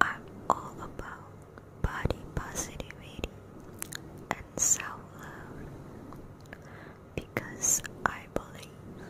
I'm all about body positivity and self love because I believe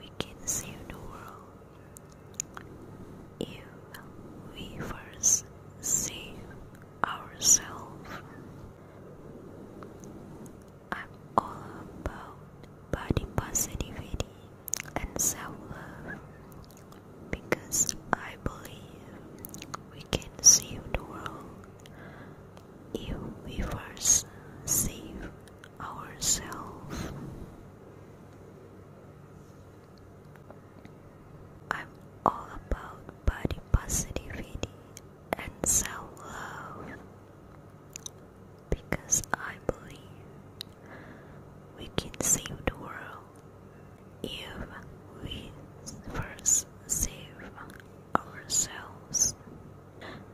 we can save the world if we first save ourselves. I'm all about body positivity and self love because I believe we can save the world if we first save ourselves. I'm all about body positivity and self love because I believe we can save the world if we first save ourselves.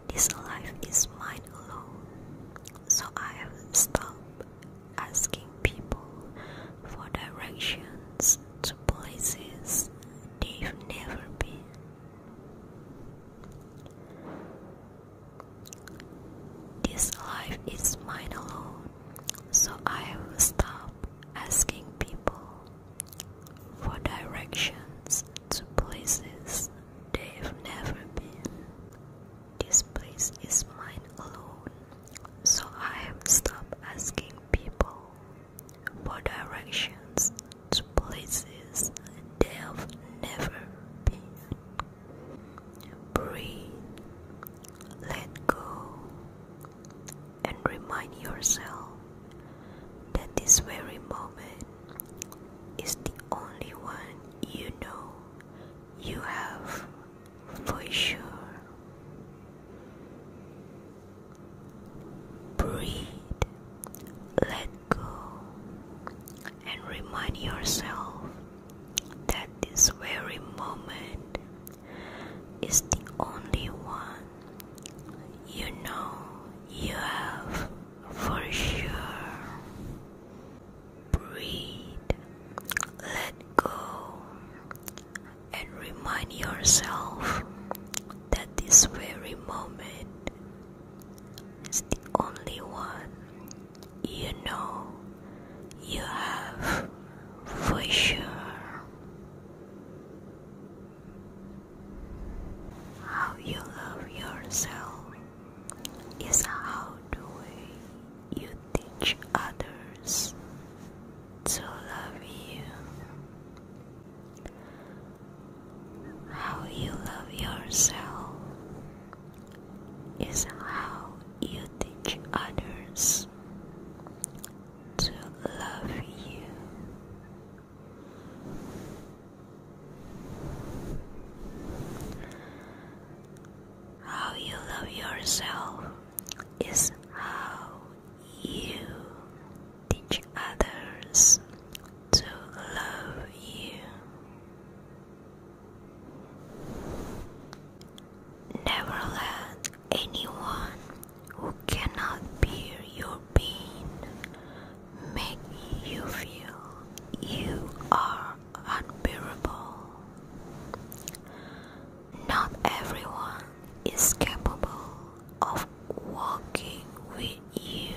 This life is mine alone, so I have stopped asking people for directions to places they've never been. This life is mine alone, so I will stop asking people for directions to places they've never been. This place is mine alone, so I have stopped asking people for directions to places they've never been. Breathe, let go, and remind yourself that this very moment is the only one you know you have for sure. Breathe, let go, and remind yourself that this very moment is the only one you know you have for sure breathe, let go, and remind yourself that this very moment is the only one you know you have for sure. How you love yourself is how the you teach others to love you. How you love yourself is how you teach others to love you. How you love yourself is how you teach others to love you. Never let anyone who cannot bear your pain make you feel you are unbearable. Not everyone is capable of walking with you.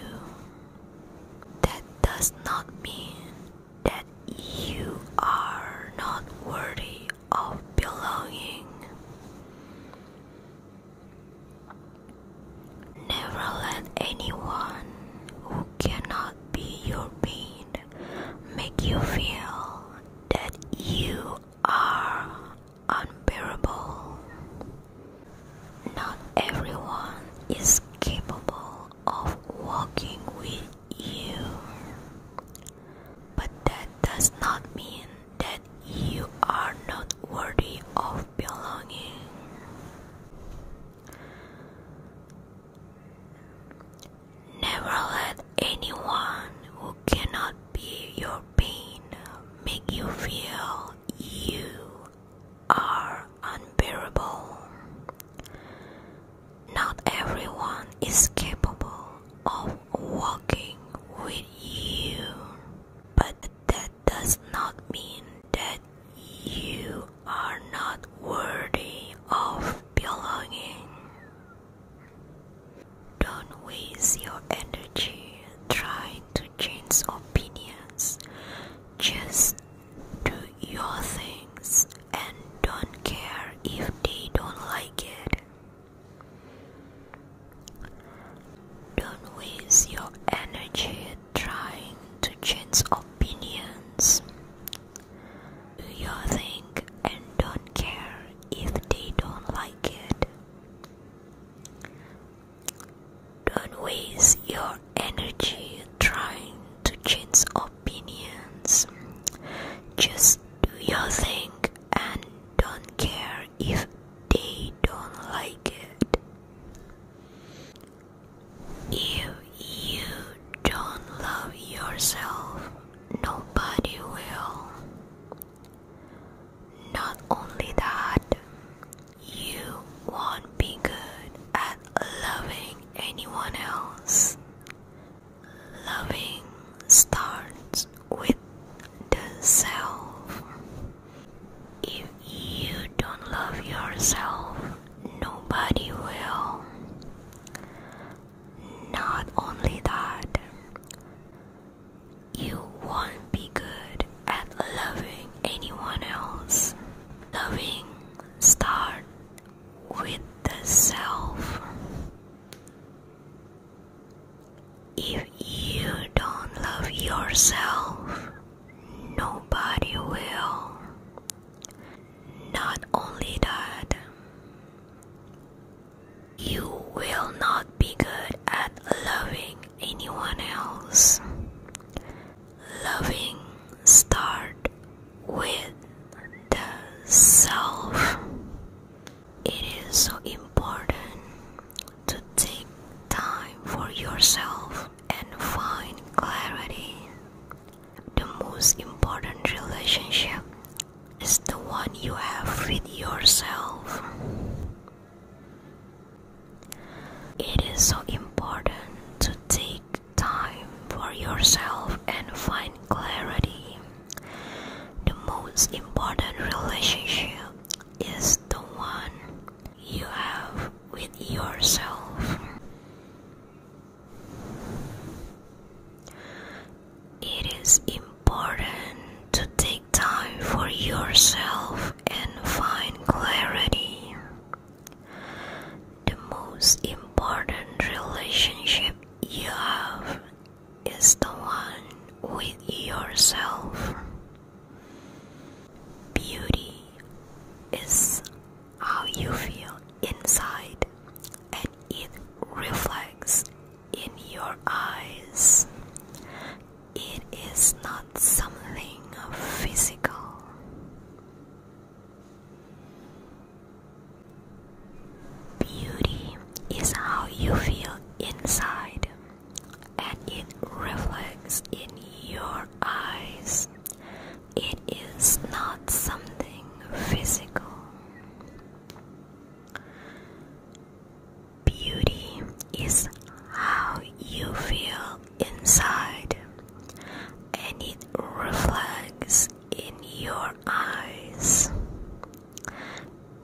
That does not mean that you are not worthy of belonging. Never let anyone who cannot be your being make you feel that you are unbearable. Not everyone is capable of walking with you, but that does not mean that you are not worthy of belonging. Never let anyone who cannot be your pain make you feel you are unbearable. Not everyone is capable of walking with you, but that does not mean that you are not worthy of belonging. Don't waste your energy trying to change opinions. Just do your things and don't care if they don't like it. Don't waste your energy trying to change opinions. You think and don't care if they don't like it. Don't waste your energy trying to change opinions. Just do your thing and don't care if they don't like it. If you don't love yourself, nobody will. Not only that, you won't be good at loving anyone else. Loving starts with the self. If you don't love yourself, nobody will. Not only that, you won't be good at loving anyone else. Loving start with the self. If you don't love yourself, Nobody will. Not only that, you will not be good at loving anyone else. Loving start with the self. It is so important to take time for yourself and find clarity. The most important relationship is the one you have with yourself. It is so important to take time for yourself and find clarity. The most important relationship is the one you have with yourself. It is important to take time for yourself and find clarity. The most important relationship you have is the one with yourself. Beauty is how you feel inside, and it reflects in your eyes. It is not something physical. Beauty is how you feel inside, and it reflects in your eyes. It is not something physical. Beauty is how you feel inside, and it reflects in your eyes.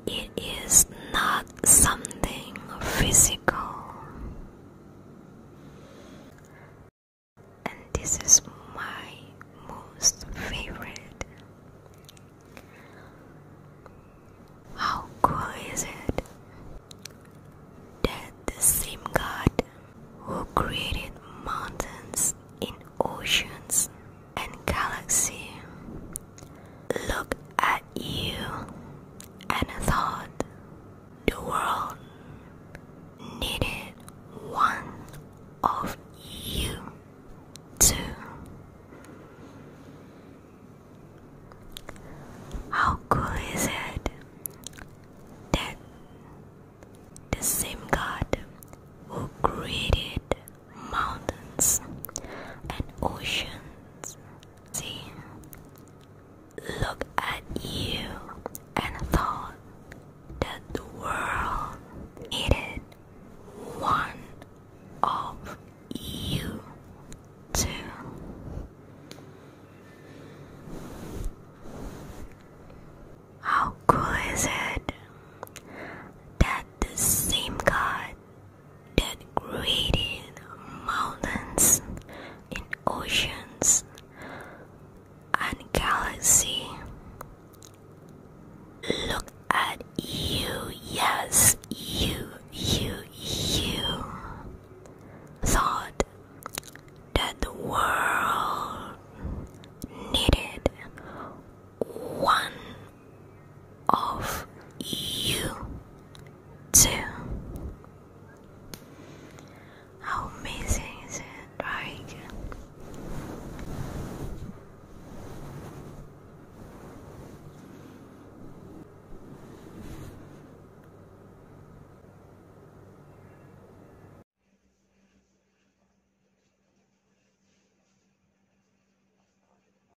It is not something physical and this is my most favorite. How cool is it that the same God who created mountains in oceans and galaxies, look at you and thought the world needed one of you to. How cool is it that the same God who created mountains and oceans See, look at you and thought that the world needed one of you too. How cool is it that the same God that created mountains and oceans and galaxies. Look at you, yes, you, you, you thought that the world needed one of you too. How amazing is it, right?